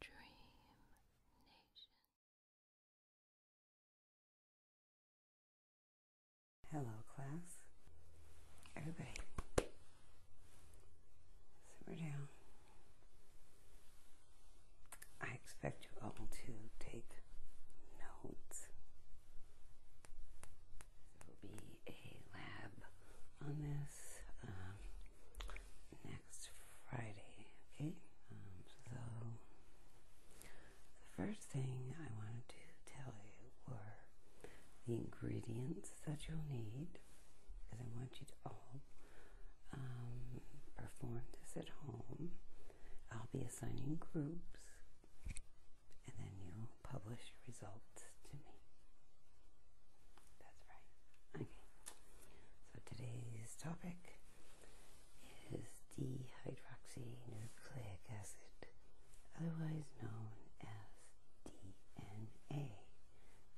Dream Hello, class. Everybody, simmer down. I expect you all to take notes. There will be a lab on this um, next Friday. Okay, um, so the first thing I wanted to tell you were the ingredients that you'll need because I want you to all um, perform this at home. I'll be assigning groups and then you'll publish results to me. That's right. Okay. So today's topic is dehydroxynucleic acid, otherwise known as DNA.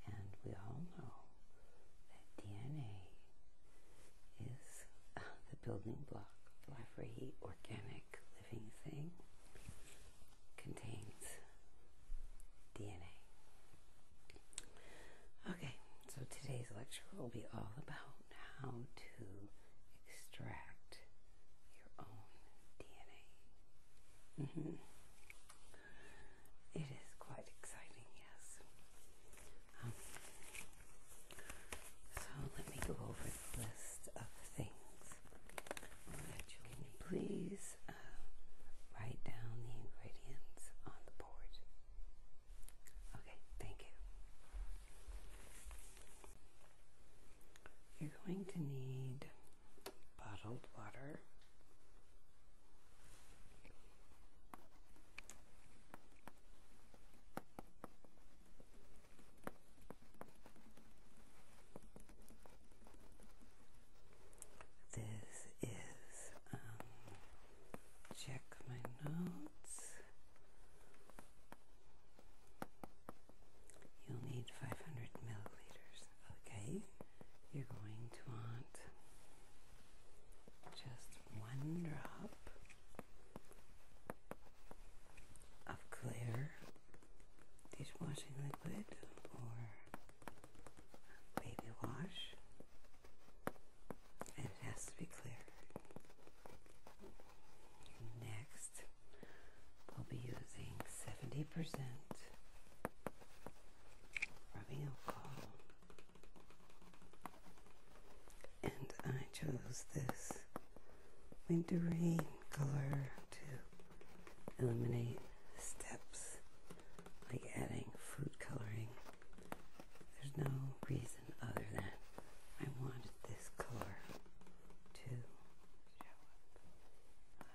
And we all know that DNA is uh, the building block of every organic living thing contains DNA. Okay, so today's lecture will be all about how to extract your own DNA. Mm-hmm. It is quite exciting, yes. Um, so let me go over the list can you please uh, write down the ingredients on the board? Okay, thank you. You're going to need bottled water. This is, um, check my notes. You'll need 500 milliliters. Okay, you're going to want just one drop of clear dishwashing liquid or baby wash, and it has to be clear. Next, we'll be using 70% rubbing alcohol, and I chose this wintery color to eliminate steps like adding food coloring. There's no reason other than I wanted this color to show up.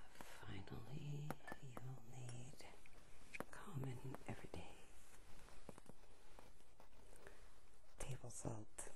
finally, you'll need common everyday table salt.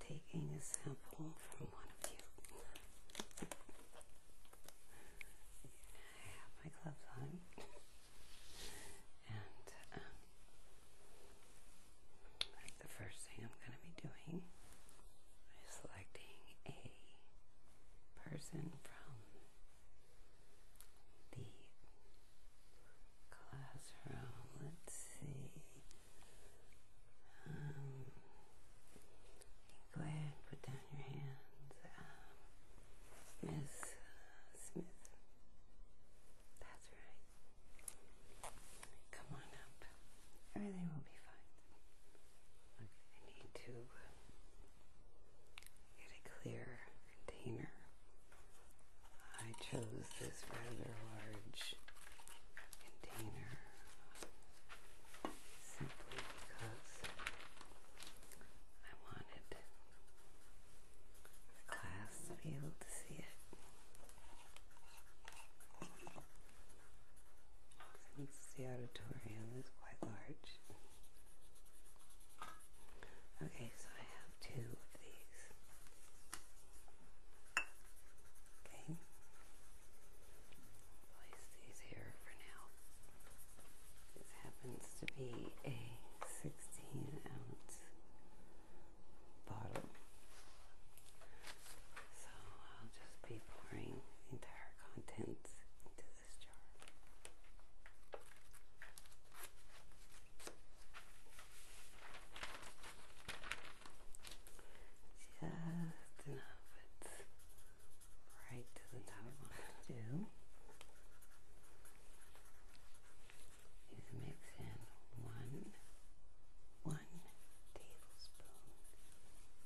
taking a sample from one of you. I have my gloves on, and um, the first thing I'm going to be doing is selecting a person from the classroom. Let's see. Um, go ahead and put down your hands. Um, Smith. That's right. Come on up. Everything will be fine. I need to uh, get a clear container I chose this rather large container simply because I wanted the class to be able to see it. Since the auditorium is quite large. Okay, I have two of these. Okay. Place these here for now. This happens to be a 16 ounce bottle. So I'll just be pouring the entire contents into this jar. Just enough. right to the top do. Is mix in one one tablespoon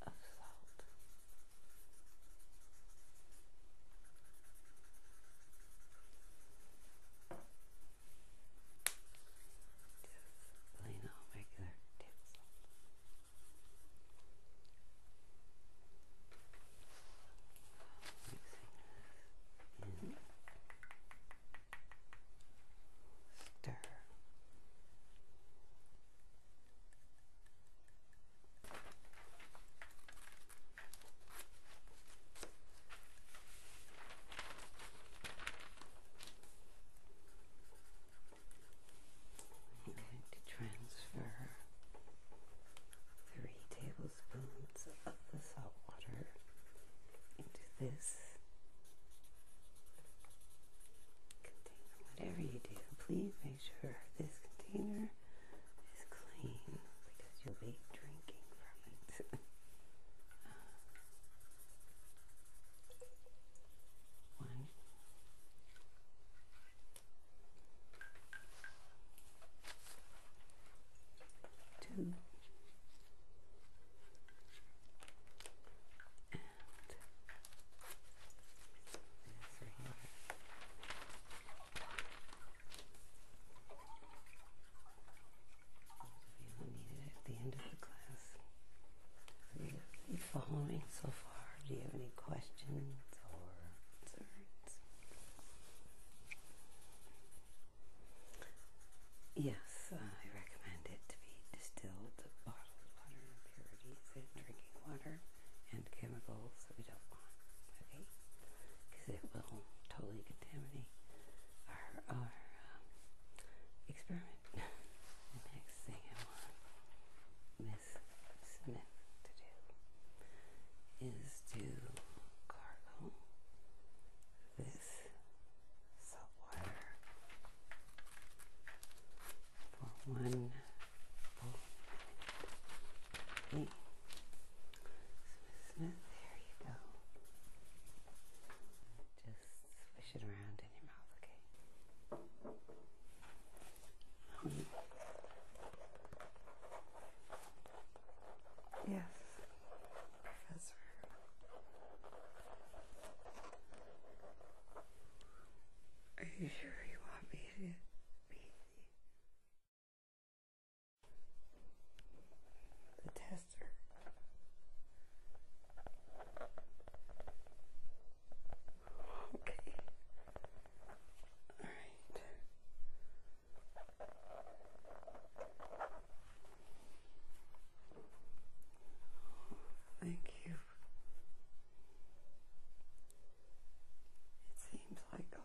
of salt plain old regular tips. Mixing this in. Stir. Stir. I'm going to transfer three tablespoons of the salt water into this container. Whatever you do, please make sure this container is clean because you'll be drinking from it. Uh, one. Two and this those of need it at the end of the class. You're following so far. Do you have any questions or concerns? Yes, uh, I recommend it to be distilled bottled water impurities in drinking water and chemicals that we don't want. Okay? because it will totally contaminate our, um, experiment. next thing I want Miss Smith to do is to gargle this salt water for one Smooth, there you go. Just swish it around in your mouth, okay? yes, Professor. Are you sure you want me to be the tester. Okay. All right. Thank you. It seems like a lot.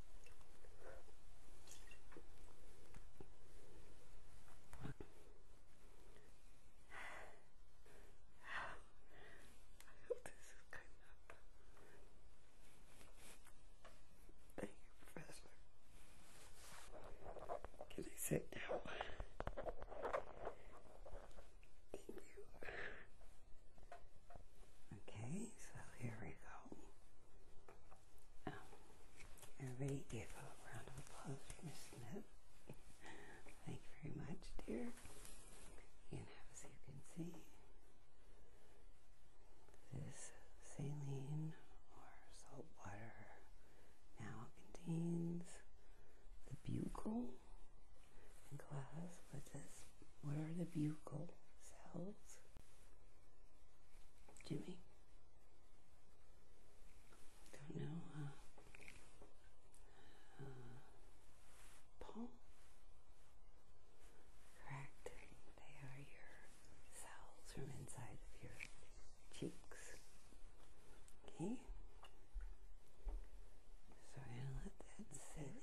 I hope this is good enough. Thank you, Professor. Can I sit down? Thank you. Okay, so here we go. Um, everybody give a round of applause for Miss Smith. Thank you very much, dear. And as you can see, this saline or salt water now contains the buccal glass, but this what are the buccal cells? Jimmy. Don't know. Uh, uh, Paul. Correct. They are your cells from inside of your cheeks. Okay. So I'm gonna let that sit.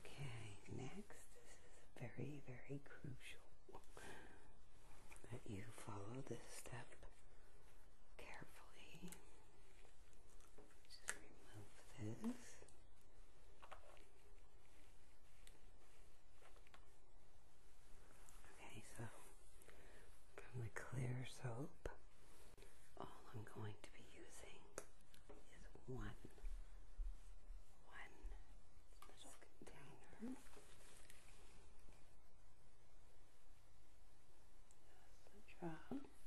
Okay, next, this is very, very crucial that you follow this step carefully. Just remove this. Okay, so from the clear soap, all I'm going to be using is one. One container. That's the job.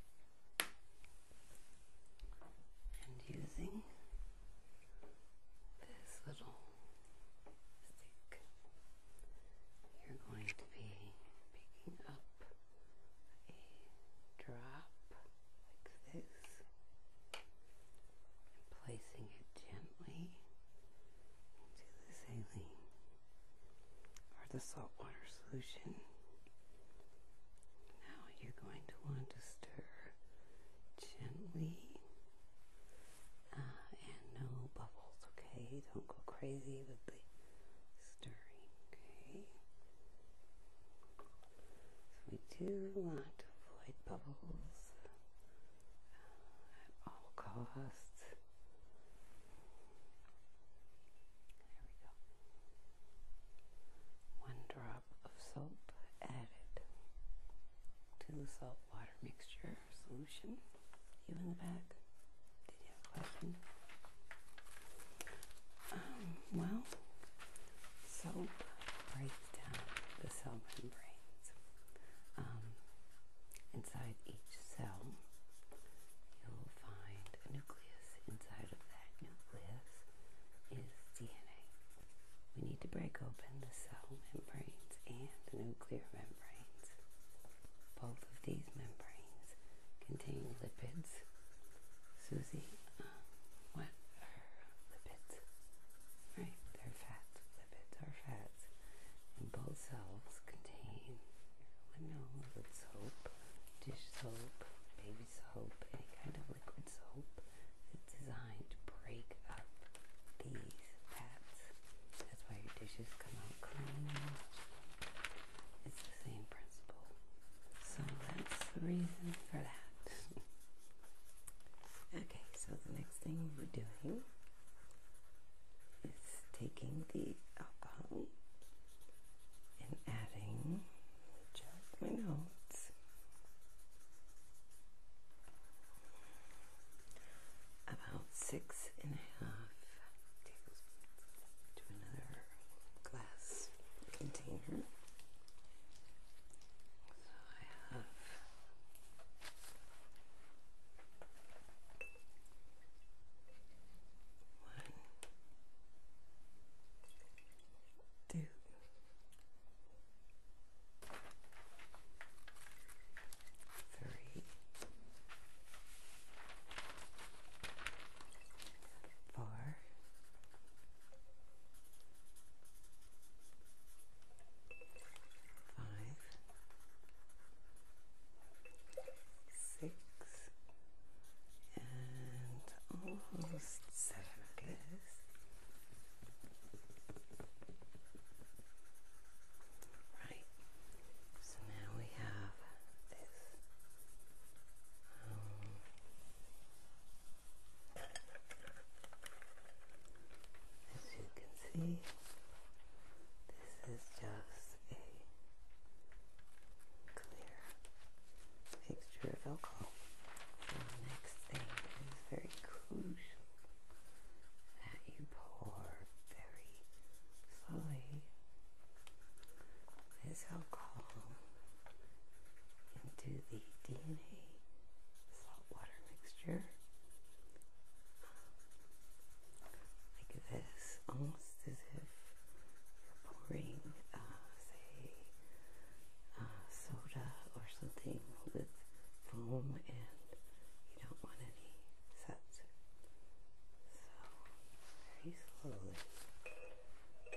And using this little stick, you're going to be picking up a drop like this and placing it gently into the saline or the saltwater solution. Now you're going to want to stir gently uh, and no bubbles, okay? Don't go crazy with the stirring. Okay. So we do want to avoid bubbles uh, at all costs. There we go. One drop of soap added to the salt water mixture solution. You in the back? Um, well, soap breaks down the cell membranes. Um, inside each cell, you'll find a nucleus. Inside of that nucleus is DNA. We need to break open the cell membranes and the nuclear membranes. Both of these membranes Containing lipids. Susie, uh, what are lipids? Right, they're fat. Lipids are fats. both selves contain linoleum, liquid soap, dish soap, baby soap, any kind of liquid soap that's designed to break up these fats. That's why your dishes come out clean. It's the same principle. So that's the reason for that. okay, so the next thing we're doing is taking the alcohol and adding just my notes. About six and a half to another glass container. So I have one, four, five, six, and almost seven, Right, so now we have this as you can see, this is just a clear mixture of alcohol. the next thing is very crucial that you pour very slowly this alcohol into the DNA saltwater mixture like this, almost as if pouring, uh, say, uh, soda or something with foam and you don't want any sets So, very slowly, just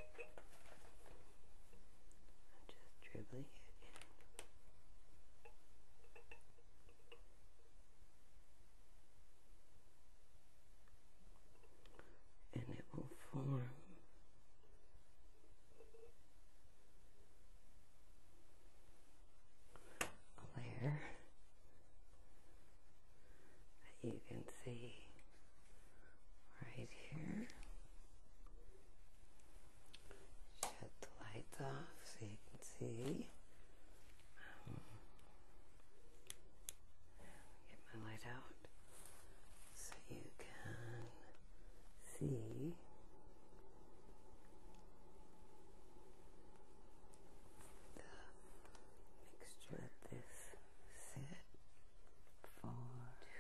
dribbling it And it will form a you can see right here. Shut the lights off so you can see. get my light out so you can see. the mixture of this sit for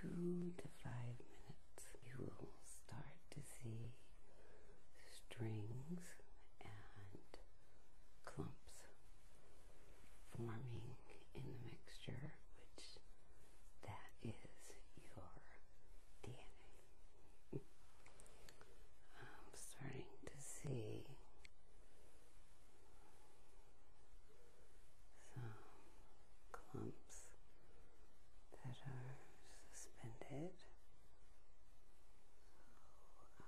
two to five minutes. You will start to see strings and clumps forming in the mixture, which that is your DNA. I'm starting to see some clumps that are suspended. I'm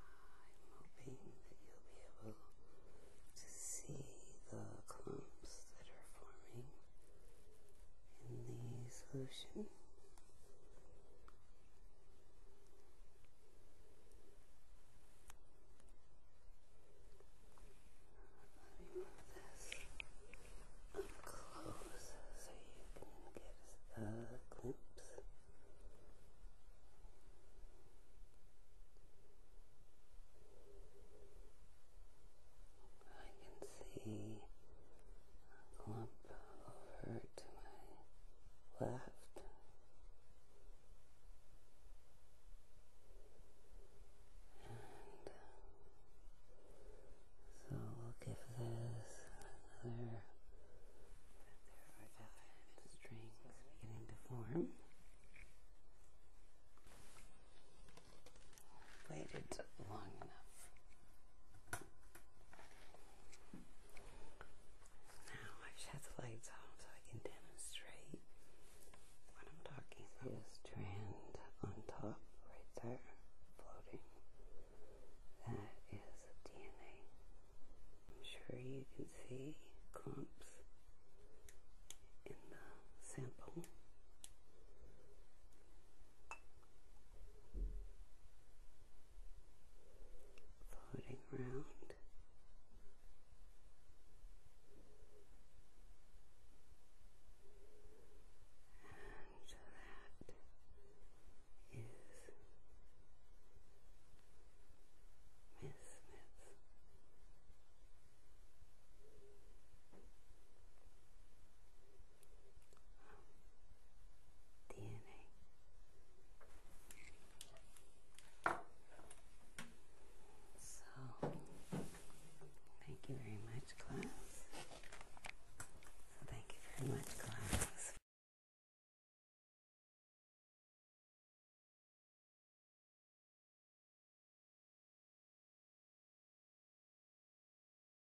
hoping that you'll be able to see the clumps that are forming in the solution. Maybe. Remove this up close so you can get a glimpse. I can see a clump over to my left. And uh, so we'll give this another strings beginning to form. Waited long enough. Now I shut the lights off so I can demonstrate what I'm talking about. This strand on top right there floating. That is DNA. I'm sure you can see clumps in the sample floating around, And that is Miss Smith. DNA. So, thank you very much, class. thank you very much, class.